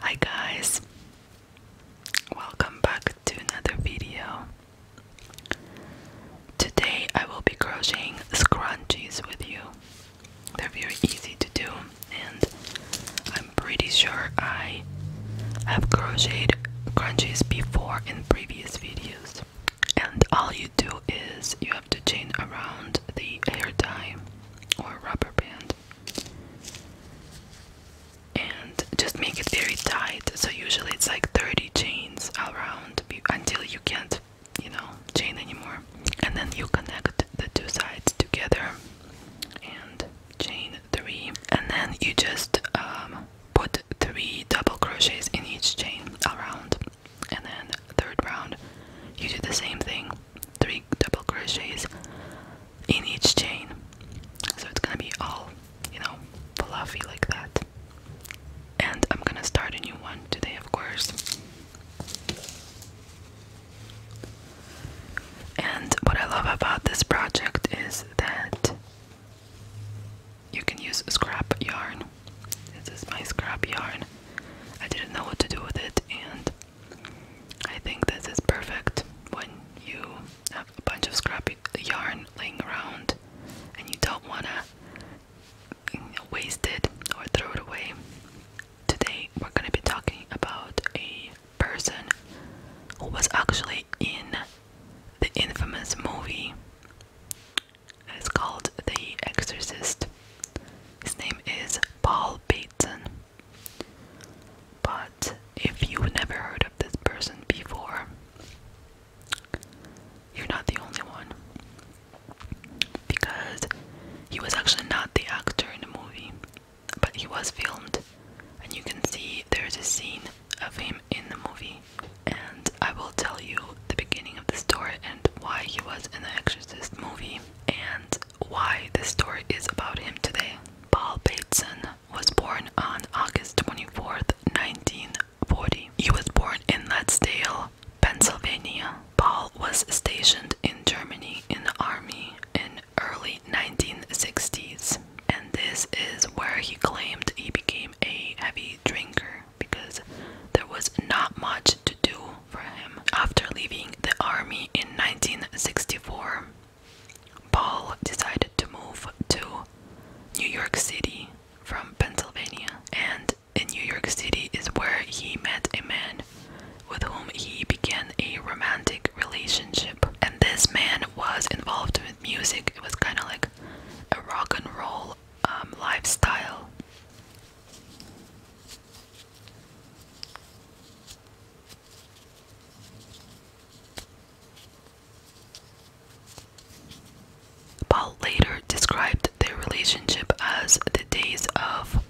Hi guys, welcome back to another video. Today I will be crocheting scrunchies with you. They're very easy to do, and I I'm pretty sure I have crocheted crunchies before in previous videos. And all you do is you have to chain around the hair tie or rubber band and just make it very tight. So usually it's like 30 chains around until you can't, you know, chain anymore. And then you connect the two sides together and chain three and then you just um, put three double crochets in each chain around and then third round you do the same thing three double crochets in each chain so it's gonna be all you know fluffy like that and I'm gonna start a new one today of course and what I love about this project is that you can use scrap yarn. This is my scrap yarn. I didn't know what to do with it, and I think this is perfect when you have a bunch of scrap yarn laying around and you don't want to waste it or throw it away. Today, we're going to be talking about a person who was actually in the infamous movie. is called The Exorcist. His name is Paul Bateson. But if you never heard of this person before, you're not the only one. Because he was actually not the actor in the movie, but he was filmed. And you can see there's a scene of him in the movie, and I will tell you the beginning of the story and why he was in the Exorcist movie and why this story is about him today. Paul Bateson was born on August 24th, 1940. He was born in Ladsdale, Pennsylvania. Paul was stationed in Germany in the army in early 1960s and this is where he claimed he became a heavy drinker because there was not much to do for him. After leaving the army in 1964, Paul decided to move to New York City from Pennsylvania, and in New York City is where he met a man with whom he began a romantic relationship. And this man was involved music. It was kind of like a rock and roll um, lifestyle. Paul later described their relationship as the days of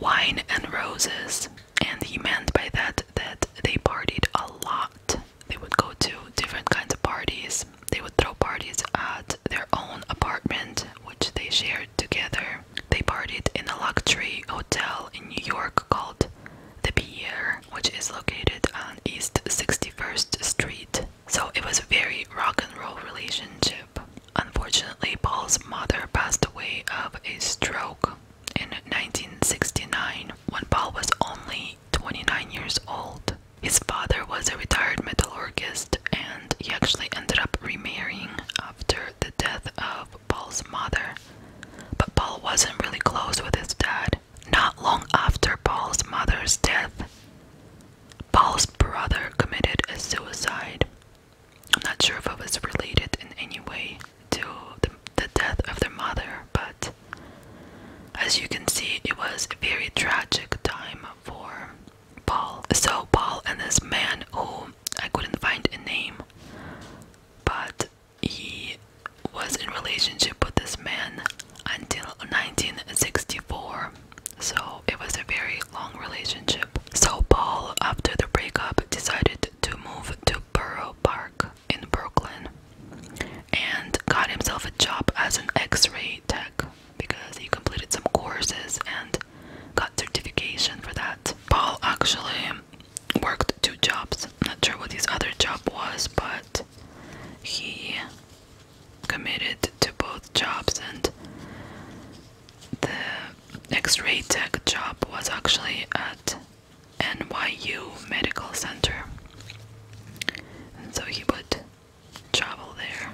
wine and roses, and he meant by that that they partied a lot. They would go to different kinds of parties. They would throw parties at their own apartment, which they shared together. They partied in a luxury hotel in New York called The Pierre, which is located on East 61st Street. So it was a very rock and roll relationship. Unfortunately, Paul's mother passed away of a stroke in 1969 when Paul was only 29 years old. His father was a retired metalurgist, and he actually ended up remarrying after the death of Paul's mother. But Paul wasn't really close with his dad. Not long after Paul's mother's death, Paul's brother committed a suicide. I'm not sure if it was related in any way to the death of their mother, but as you can see, it was a very tragic time for Paul. So, Paul and this man who I couldn't find a name, but he was in relationship with this man until 1964. So, it was a very long relationship. So, Paul, after the breakup, decided to move to Borough Park in Brooklyn and got himself a job as an x ray tech because he completed some courses and got certification for that. Paul actually worked two jobs. Not sure what his other job was, but he committed to both jobs and the x-ray tech job was actually at NYU Medical Center. so he would travel there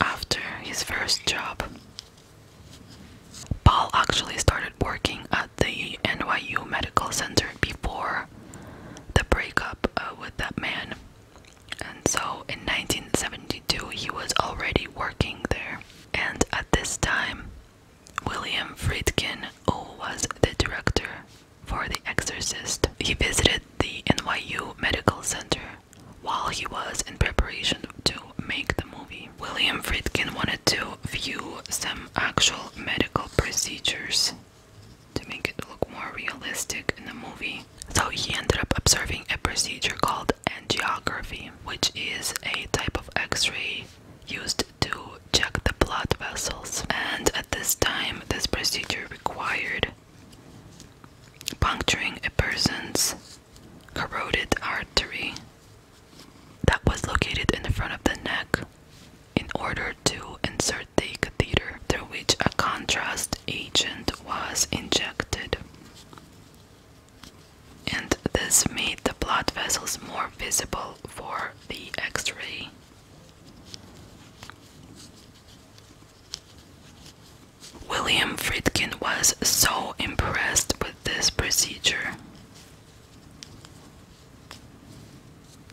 after his first job. Paul actually started working at the NYU Medical Center before the breakup uh, with that man. And so in 1972, he was already working there. And at this time, William Friedkin, who was the director for The Exorcist, he visited the NYU Medical Center while he was in preparation to make the movie. William Friedkin wanted to view some actual medical procedures to make it look more realistic in the movie. So he ended up observing a procedure called angiography, which is a type of x ray used to check the blood vessels, and at this time, this procedure required puncturing a person's carotid artery that was located in the front of the neck in order to insert the catheter through which a contrast agent was injected. And this made the blood vessels more visible for the X ray William Friedkin was so impressed with this procedure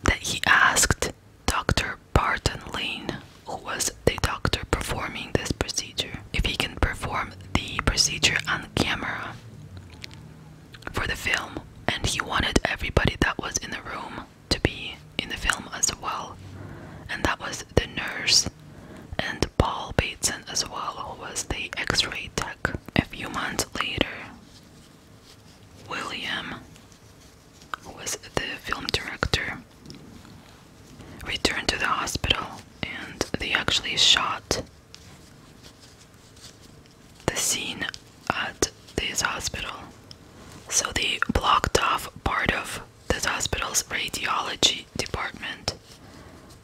that he asked Dr. Barton Lane, who was the doctor performing this procedure, if he can perform the procedure on camera for the film. And he wanted everybody that was in the room to be in the film as well, and that was the nurse and Paul Bateson as well, who was the x ray tech. A few months later, William, who was the film director, returned to the hospital and they actually shot the scene at this hospital. So they blocked off part of this hospital's radiology department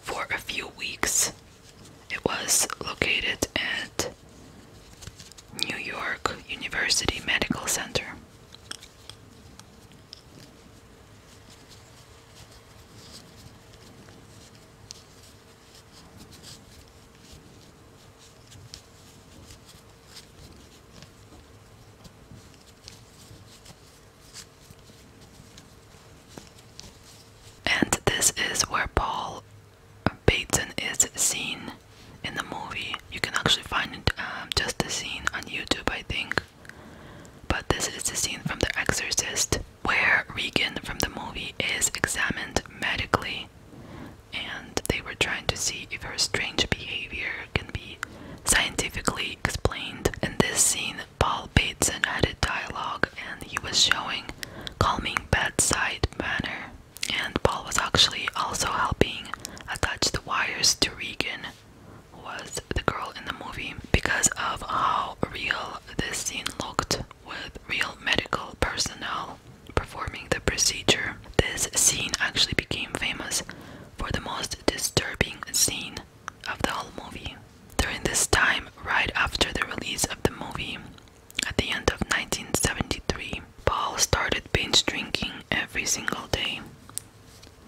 for a few weeks. It was located at New York University Medical Center. And this is where Paul Bateson is seen in the movie. You can actually find it, um, just the scene on YouTube, I think. But this is the scene from The Exorcist where Regan from the movie is examined medically and they were trying to see if her strange behavior can be scientifically explained. In this scene, Paul Bateson added dialogue and he was showing calming bedside manner. And Paul was actually also helping attach the wires to Regan, who was the girl in the movie, because of how real this scene looked with real medical personnel performing the procedure. This scene actually became famous for the most disturbing scene of the whole movie. During this time, right after the release of the movie, at the end of 1973, Paul started binge drinking every single day.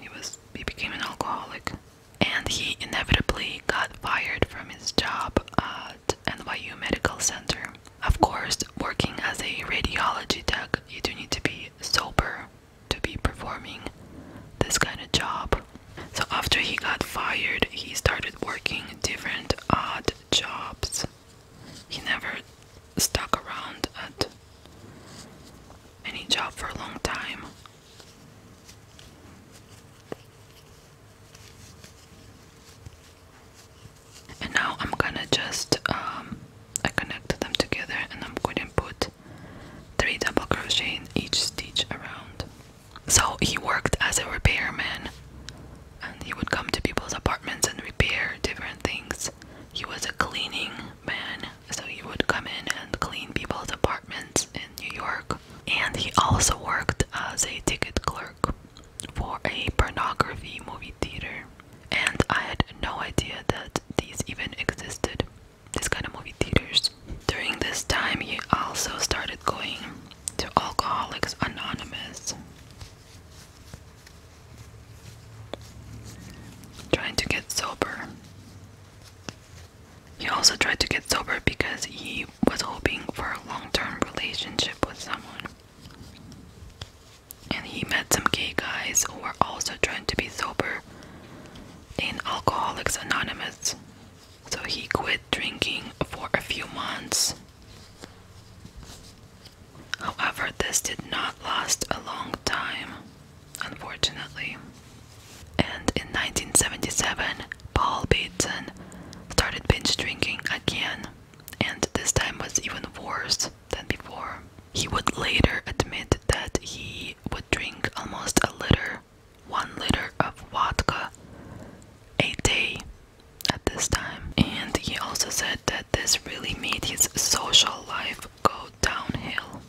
He was he became an alcoholic, and he inevitably got fired from his job at NYU Medical Center. Of course, working as a radiology tech, you do need to be sober to be performing this kind of job. So, after he got fired, he started working different odd jobs. He never stuck around at any job for a long time. And now I'm gonna just um, I connect them together and I'm gonna put three double crochet in each stitch around. So he worked as a repairman and he would come to people's apartments and repair different things. He was a cleaning man, so he would come in and clean people's apartments in New York. And he also worked as a ticket clerk for a pornography movie theater and I had no idea that these even existed, this kind of movie theaters. During this time, he also started going to Alcoholics Anonymous, trying to get sober. He also tried to get sober because he was hoping for a long term relationship with someone and he met some gay guys who were also trying to be sober in Alcoholics Anonymous. So he quit drinking for a few months. However, this did not last a long time, unfortunately. And in 1977, Paul Beaton started binge drinking again, and this time was even worse than before. He would later admit that he would drink almost a liter, one liter of vodka a day at this time. And he also said that this really made his social life go downhill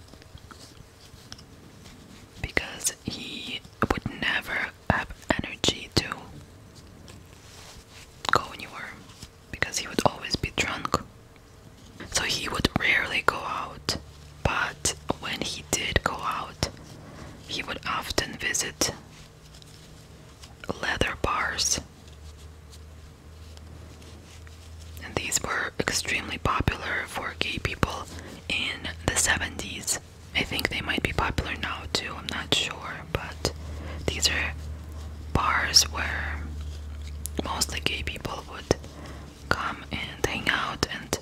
because he would never have energy to go anywhere because he would always be drunk. So he would rarely go out, but when he did go out, he would often visit leather bars. And these were extremely popular for gay people in the 70s. I think they might be popular now too, I'm not sure but these are bars where mostly gay people would come and hang out and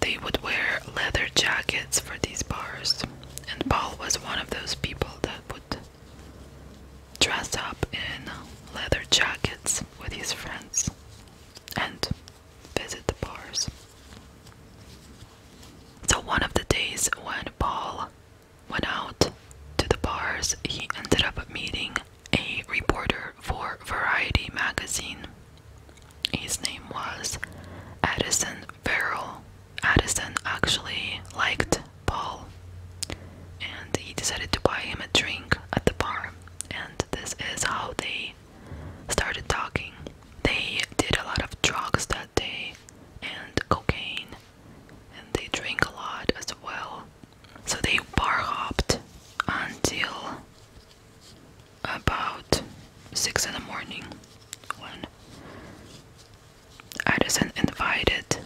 they would wear leather jackets for these bars and Paul was one of those people that would dress up in leather jackets with his friends and visit the bars. So one of the days when Paul went out to the bars, he ended up meeting a reporter for Variety magazine. His name was Addison Farrell. Addison actually liked Paul, and he decided to buy him a drink at the bar. And this is how they started talking. They did a lot of drugs that day and cocaine and they drink a lot as well. So they bar hopped until about six in the morning when Addison invited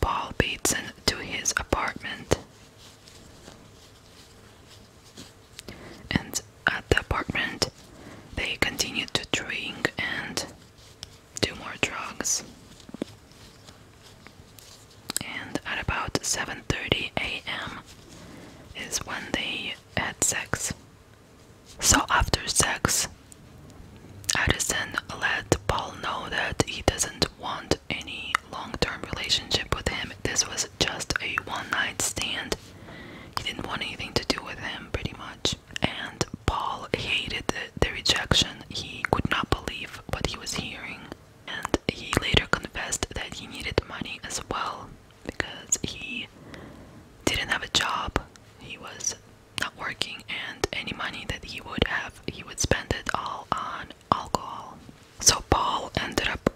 Paul Bateson to his apartment. And at the apartment, they continued to drink and do more drugs. And at about 7:30 a.m. is when they had sex. So after sex, Addison let Paul know that he doesn't want any long-term relationship with him. This was just a one-night stand. He didn't want anything to do with him pretty much. And Paul hated the, rejection. He could not believe what he was hearing. And he later confessed that he needed money as well because he didn't have a job. He was not working, and any money that he would have, he would spend it all on alcohol. So Paul ended up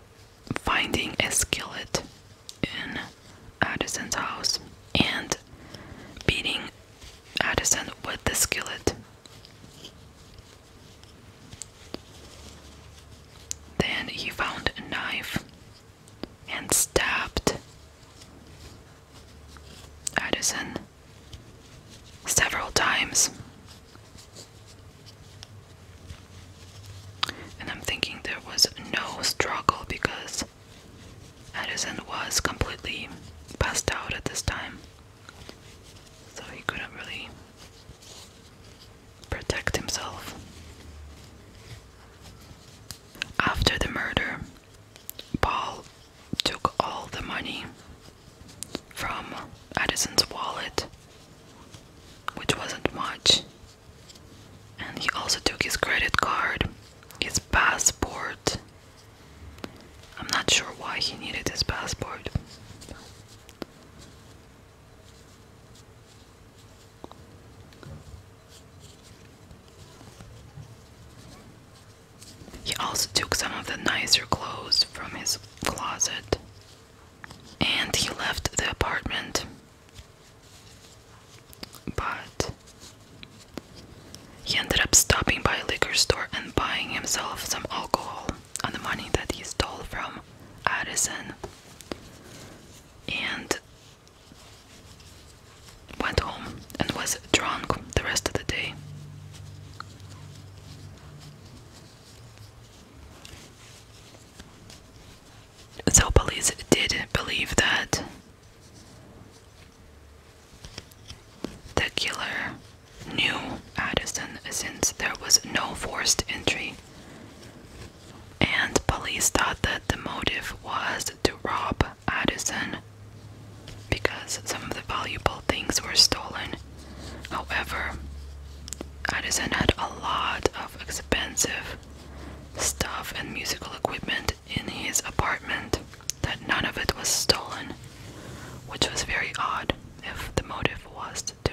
finding a skillet in Addison's house and beating Addison with the skillet. Then he found a knife and stabbed Addison several times. And I'm thinking there was no struggle because Addison was completely passed out at this time, so he couldn't really protect himself. After the murder, Paul took all the money from Addison's wallet, which wasn't much, and he also took his credit card, his passport, I'm not sure why he needed his passport. He also took some of the nicer clothes from his closet and he left the apartment. But he ended up stopping by a liquor store and buying himself some alcohol on the money that he stole from Addison and went home and was drunk the rest of the day. So, police did not believe that the killer knew Addison since there was no forced entry, and police thought that the motive was to rob Addison because some of the valuable things were stolen. However, Addison had a lot of expensive stuff and musical equipment in his apartment that none of it was stolen, which was very odd if the motive was to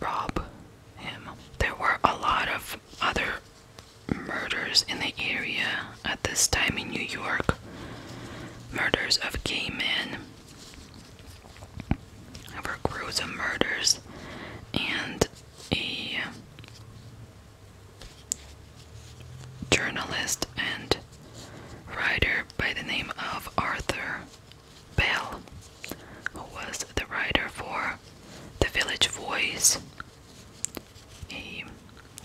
rob him. There were a lot of other murders in the area at this time in New York murders of gay men. There gruesome murders and a journalist and writer by the name of Arthur Bell, who was the writer for The Village Voice,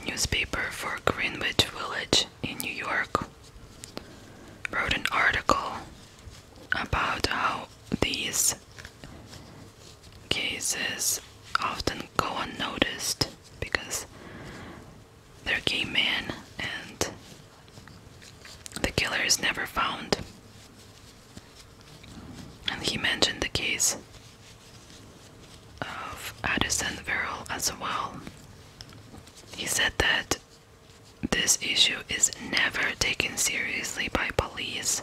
newspaper for Greenwich Village in New York, wrote an article about how these cases often go unnoticed because they're gay men and the killer is never found. And he mentioned the case of Addison Verrill as well. He said that this issue is never taken seriously by police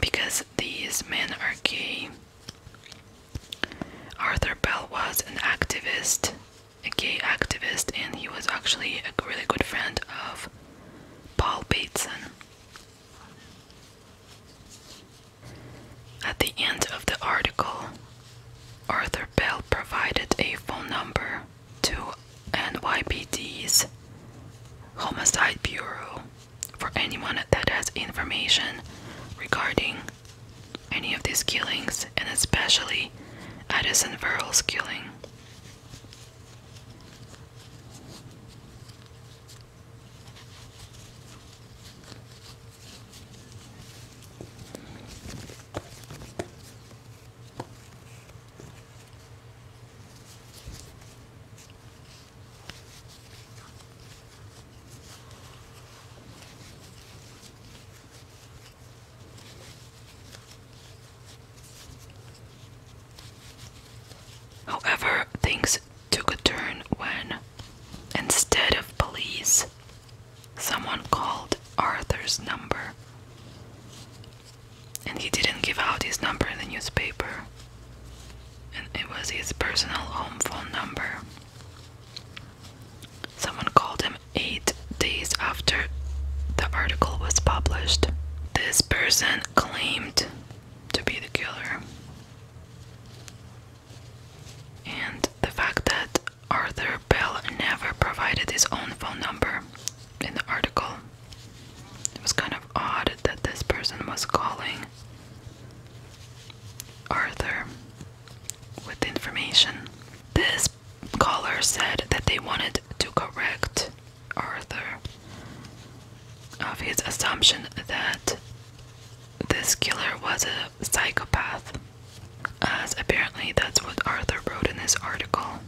because these men are gay Arthur Bell was an activist, a gay activist, and he was actually a really good friend of Paul Bateson. At the end of the article, Arthur Bell provided a phone number to NYPD's Homicide Bureau for anyone that has information regarding any of these killings, and especially Addison Verrill's killing. However, things took a turn when, instead of police, someone called Arthur's number. And he didn't give out his number in the newspaper, it was his personal home phone number. Someone called him eight days after the article was published. This person claimed to be the killer. And the fact that Arthur Bell never provided his own phone number in the article. It was kind of odd that this person was calling Arthur with information. This caller said that they wanted to correct Arthur of his assumption that this killer was a psychopath, as apparently that's what Arthur wrote in his article.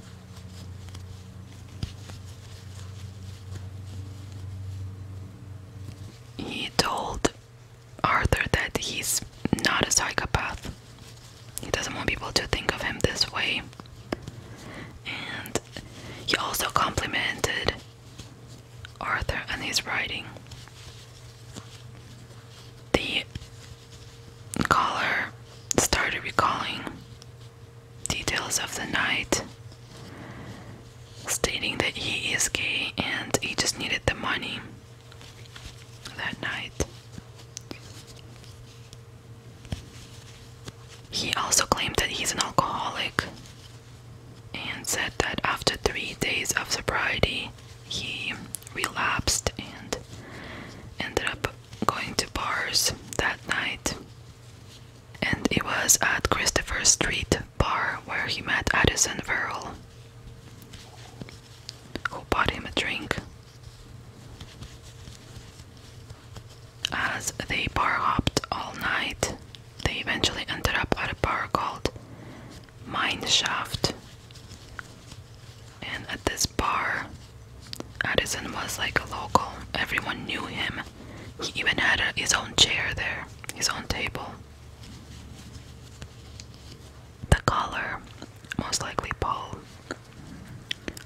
He told Arthur that he's not a psychopath. He doesn't want people to think of him this way. And he also complimented Arthur and his writing. The caller started recalling details of the night stating that he is gay and he just needed the money that night. He also claimed that he's an alcoholic and said that after three days of sobriety, he relapsed and ended up going to bars that night. And it was at Christopher Street bar where he met Addison Verrill, who bought him a drink. As they bar hopped all night, they eventually ended up at a bar called Mineshaft. And at this bar, Addison was like a local. Everyone knew him. He even had his own chair there, his own table. The caller, most likely Paul,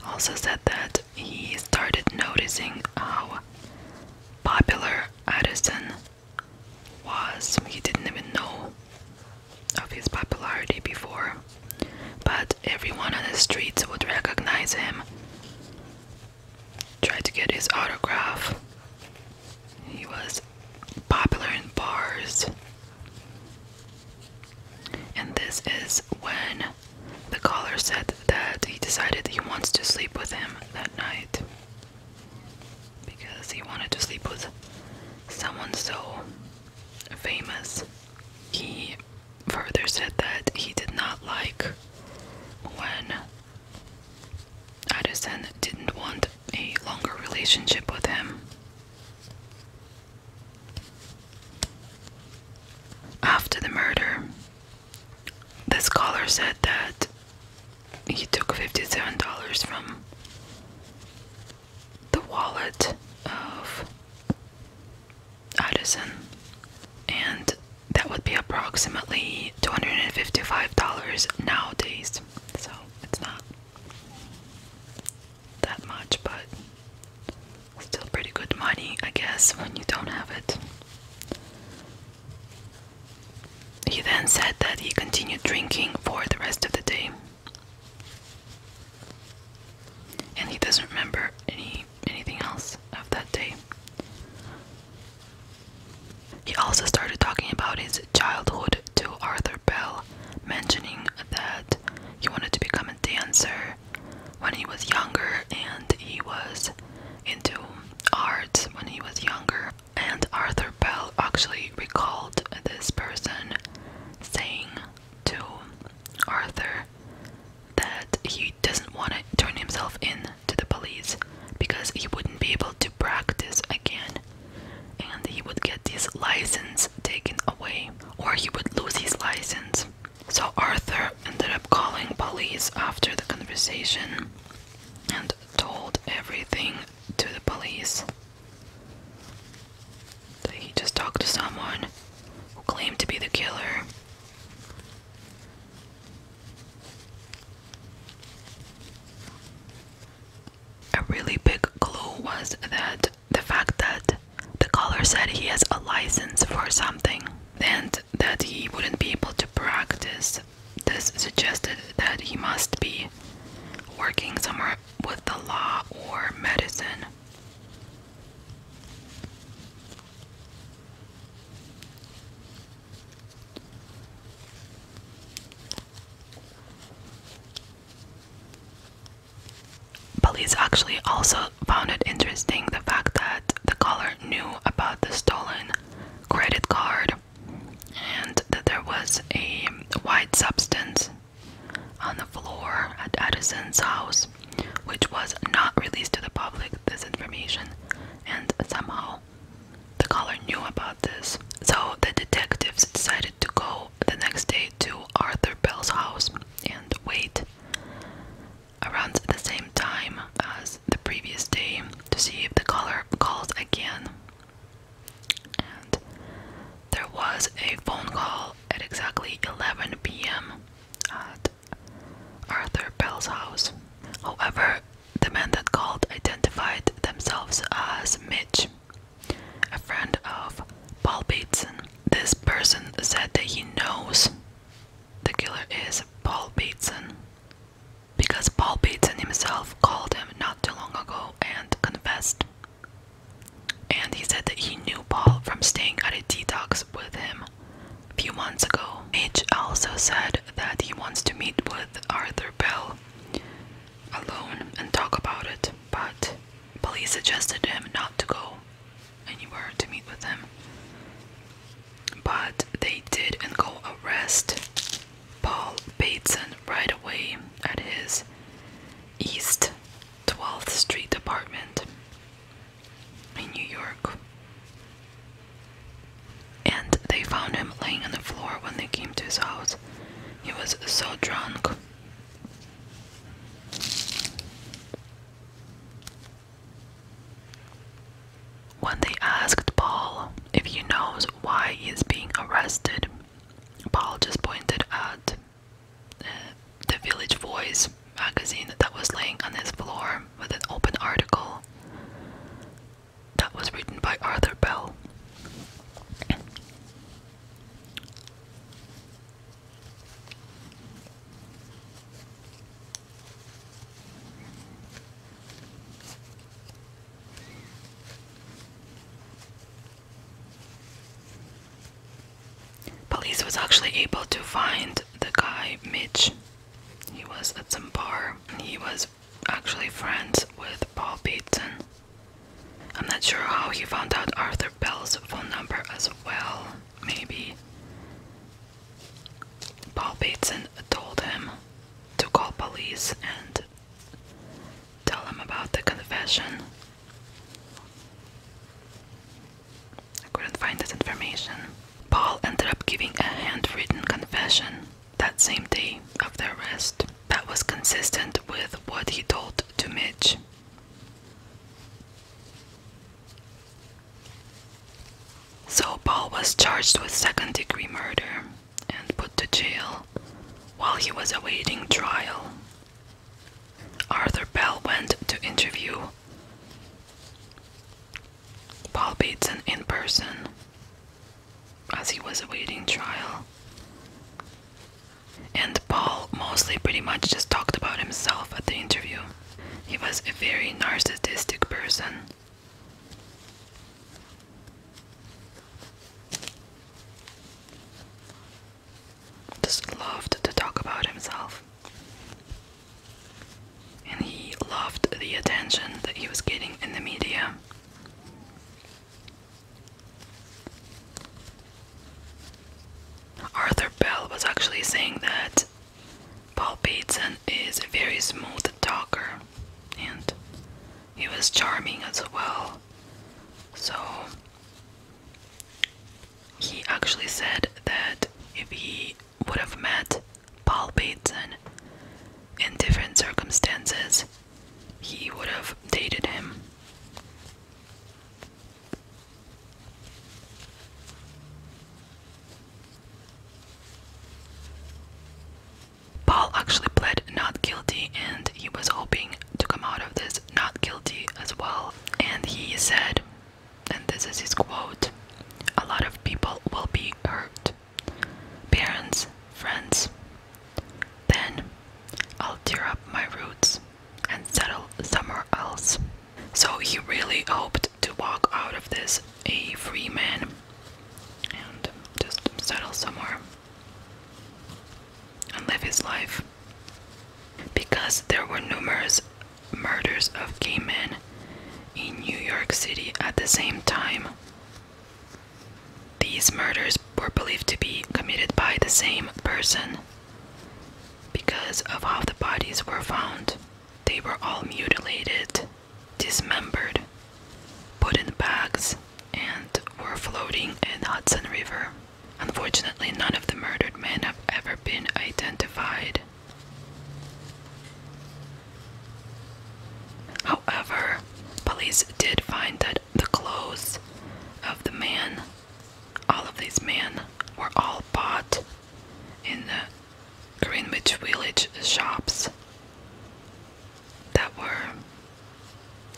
also said that he started noticing how popular Addison was. He didn't even know of his popularity before, but everyone on the streets would recognize him, try to get his autograph, he was popular in bars. And this is when the caller said that he decided he wants to sleep with him that night because he wanted to sleep with someone so famous. He further said that he did not like when Addison didn't want a longer relationship with him. After the murder, the scholar said that he took $57 from the wallet of Addison, and that would be approximately $255 nowadays. So it's not that much, but still pretty good money, I guess, when you don't have it. He then said that he continued drinking for the rest of the day. And he doesn't remember any anything else of that day. He also started talking about his childhood to Arthur Bell, mentioning that he wanted to become a dancer when he was younger and he was into art when he was younger. And Arthur Bell actually recalled this person saying to Arthur that he doesn't want to turn himself in to the police because he wouldn't be able to practice again and he would get his license taken away or he would lose his license. So Arthur ended up calling police after the conversation and told everything to the police. So he just talked to someone who claimed to be the killer a really big clue was that the fact that the caller said he has a license for something and that he wouldn't be able to practice. This suggested that he must be working somewhere with the law or medicine. Police actually also found it interesting the fact that the caller knew about the stolen credit card and that there was a white substance on the floor at Edison's house, which was not released to the public, this information, and somehow the caller knew about this, so the detectives decided to go the next day to Arthur Bell's house and wait around the same time as the previous day to see if the caller calls again. And there was a phone call at exactly 11 p.m. at Arthur Bell's house. However, the man that called identified themselves as Mitch, a friend of Paul Bateson. This person said that he knows the killer is Paul Bateson because Paul Bateson himself called him not too long ago and confessed. And he said that he knew Paul from staying at a detox with him a few months ago. Mitch also said that he wants to meet with Arthur Bell alone and talk about it, but police suggested him not to go anywhere to meet with them. But they did and go arrest Paul Bateson right away at his East 12th Street apartment in New York. And they found him laying on the floor when they came to his house he was so drunk. When they asked Paul if he knows why he is being arrested, Paul just pointed at uh, the Village Voice magazine that was laying on his floor with an open article that was written by Arthur Bell. Police was actually able to find the guy Mitch. He was at some bar he was actually friends with Paul Beatson. I'm not sure how he found out Arthur Bell's phone number as well, maybe. Paul Bateson told him to call police and tell him about the confession. I couldn't find this information. Paul ended up giving a handwritten confession that same day of their arrest. That was consistent with what he told to Mitch. So Paul was charged with second degree murder and put to jail while he was awaiting trial. Arthur Bell went to interview Paul Bateson in person as he was awaiting trial. And Paul mostly pretty much just talked about himself at the interview. He was a very narcissistic person. Just loved to talk about himself. And he loved the attention that he was getting in the media. Arthur Bell was actually saying that Paul Bateson is a very smooth talker and he was charming as well. So he actually said that if he would have met Paul Bateson in different circumstances, he would have dated him. Paul actually pled not guilty and he was hoping to come out of this not guilty as well. And he said, and this is his quote lot of people will be hurt. Parents, friends, then I'll tear up my roots and settle somewhere else. So he really hoped to walk out of this a free man and just settle somewhere and live his life. Because there were numerous murders of gay men in New York City at the same time, these murders were believed to be committed by the same person. Because of how the bodies were found, they were all mutilated, dismembered, put in bags, and were floating in Hudson River. Unfortunately, none of the murdered men have ever been identified. However, police did find that the clothes of the man. All of these men were all bought in the Greenwich Village shops that were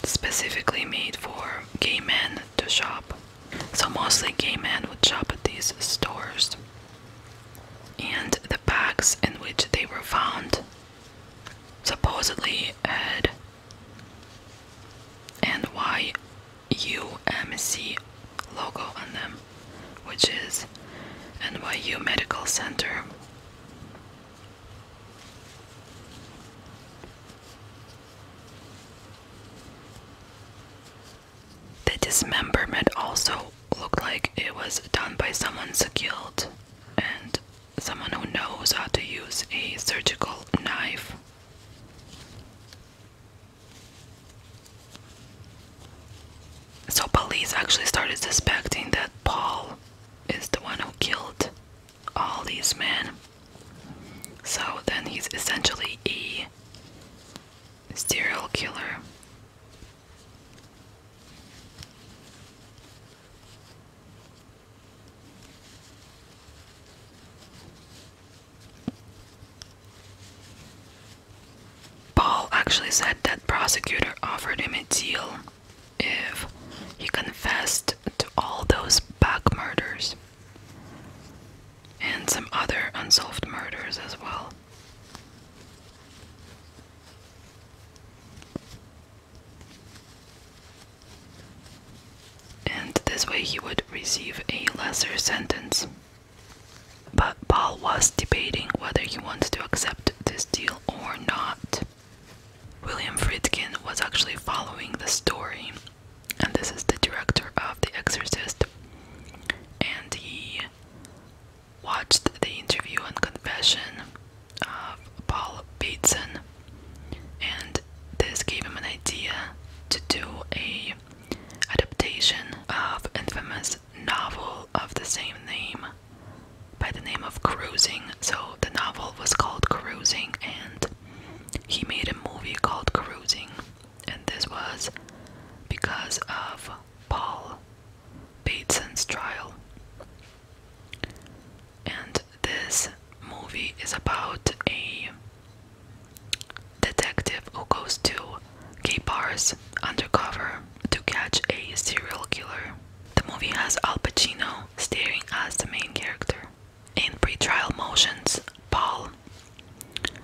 specifically made for gay men to shop. So mostly gay men would shop at these stores. And the bags in which they were found supposedly had and YUMC logo on them, which is NYU Medical Center. The dismemberment also looked like it was done by someone skilled and someone who knows how to use a surgical knife. So, police actually started suspecting that Paul is the one who killed all these men. So, then he's essentially a serial killer. Paul actually said that prosecutor offered him a deal if he confessed to all those back murders and some other unsolved murders as well and this way he would receive a lesser sentence. But Paul was debating whether he wanted to accept this deal or not. William Friedkin was actually following the story, and this is the director of The Exorcist, and he watched the interview and confession of Paul Bateson, and this gave him an idea to do a adaptation of infamous novel of the same name by the name of Cruising. So the novel was called Cruising, and he made a movie called Cruising, and this was because of Paul Bateson's trial and this movie is about a detective who goes to gay bars undercover to catch a serial killer. The movie has Al Pacino starring as the main character. In pre-trial motions, Paul,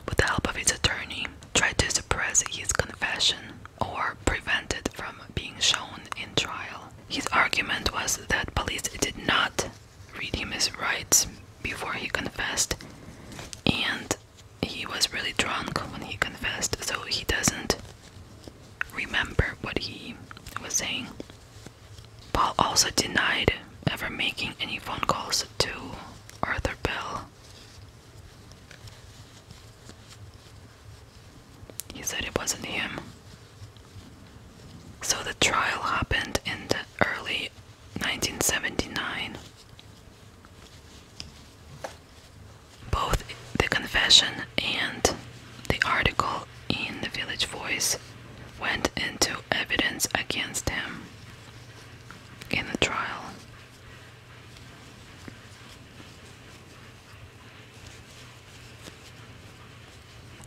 with the help of his attorney, tried to suppress his confession or prevent it from being shown in trial. His argument was that police did not redeem his rights before he confessed, and he was really drunk when he confessed, so he doesn't remember what he was saying. Paul also denied ever making any phone calls to Arthur Bell. He said it wasn't him. So the trial happened in the early 1979. Both the confession and the article in the Village Voice went into evidence against him in the trial.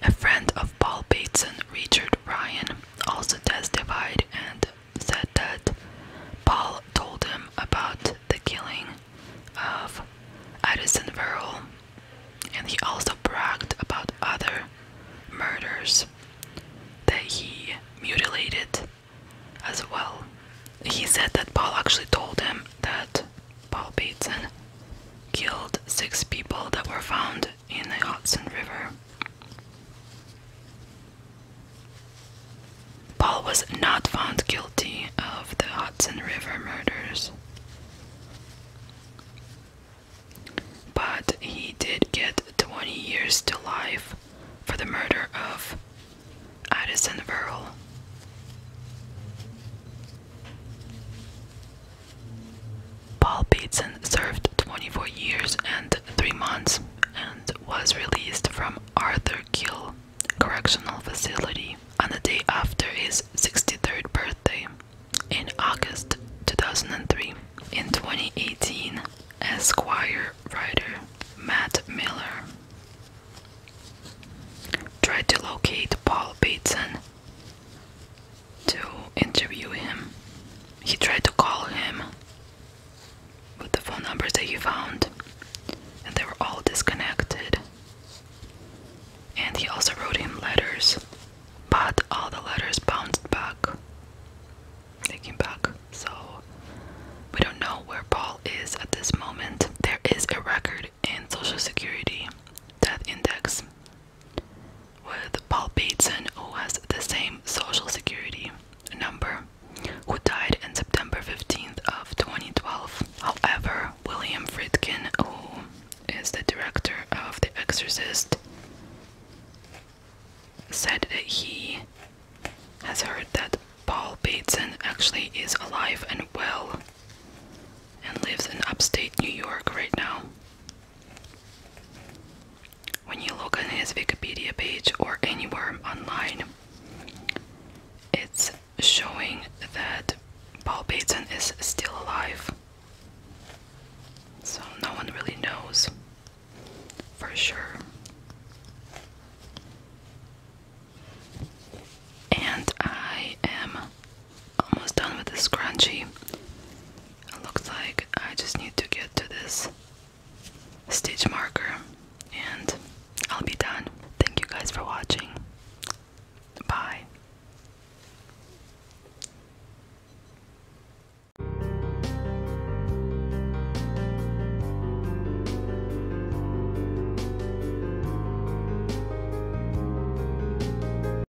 A friend of Paul Bateson, Richard Ryan, also testified and said that Paul told him about the killing of Addison Verrill, and he also bragged about other murders that he mutilated as well. He said that Paul actually told him that Paul Bateson, killed six people that were found in the Hudson River. Paul was not found guilty of the Hudson River murders, but he did get 20 years to life for the murder of Addison Verle. Paul Bateson served 24 years and 3 months and was released from Arthur Kill Correctional Facility on the day after his 63rd birthday in August 2003. In 2018, Esquire writer Matt Miller tried to locate Paul Bateson to interview him. He tried to call him with the phone numbers that he found, and they were all disconnected. And he also wrote him letters, but all the letters bounced back. They back, so we don't know where Paul is at this moment. There is a record in Social Security death index with Paul Bateson, who has the same social security number, who died on September 15th of 2012. However, William Friedkin, who is the director of The Exorcist, said that he has heard that Paul Bateson actually is alive and well and lives in upstate New York right now. When you look on his Wikipedia page or anywhere online, it's showing that Paul Bateson is still alive. So no one really knows for sure. And I am almost done with this scrunchie. It looks like I just need to get to this stitch marker and I'll be done. Thank you guys for watching. Bye.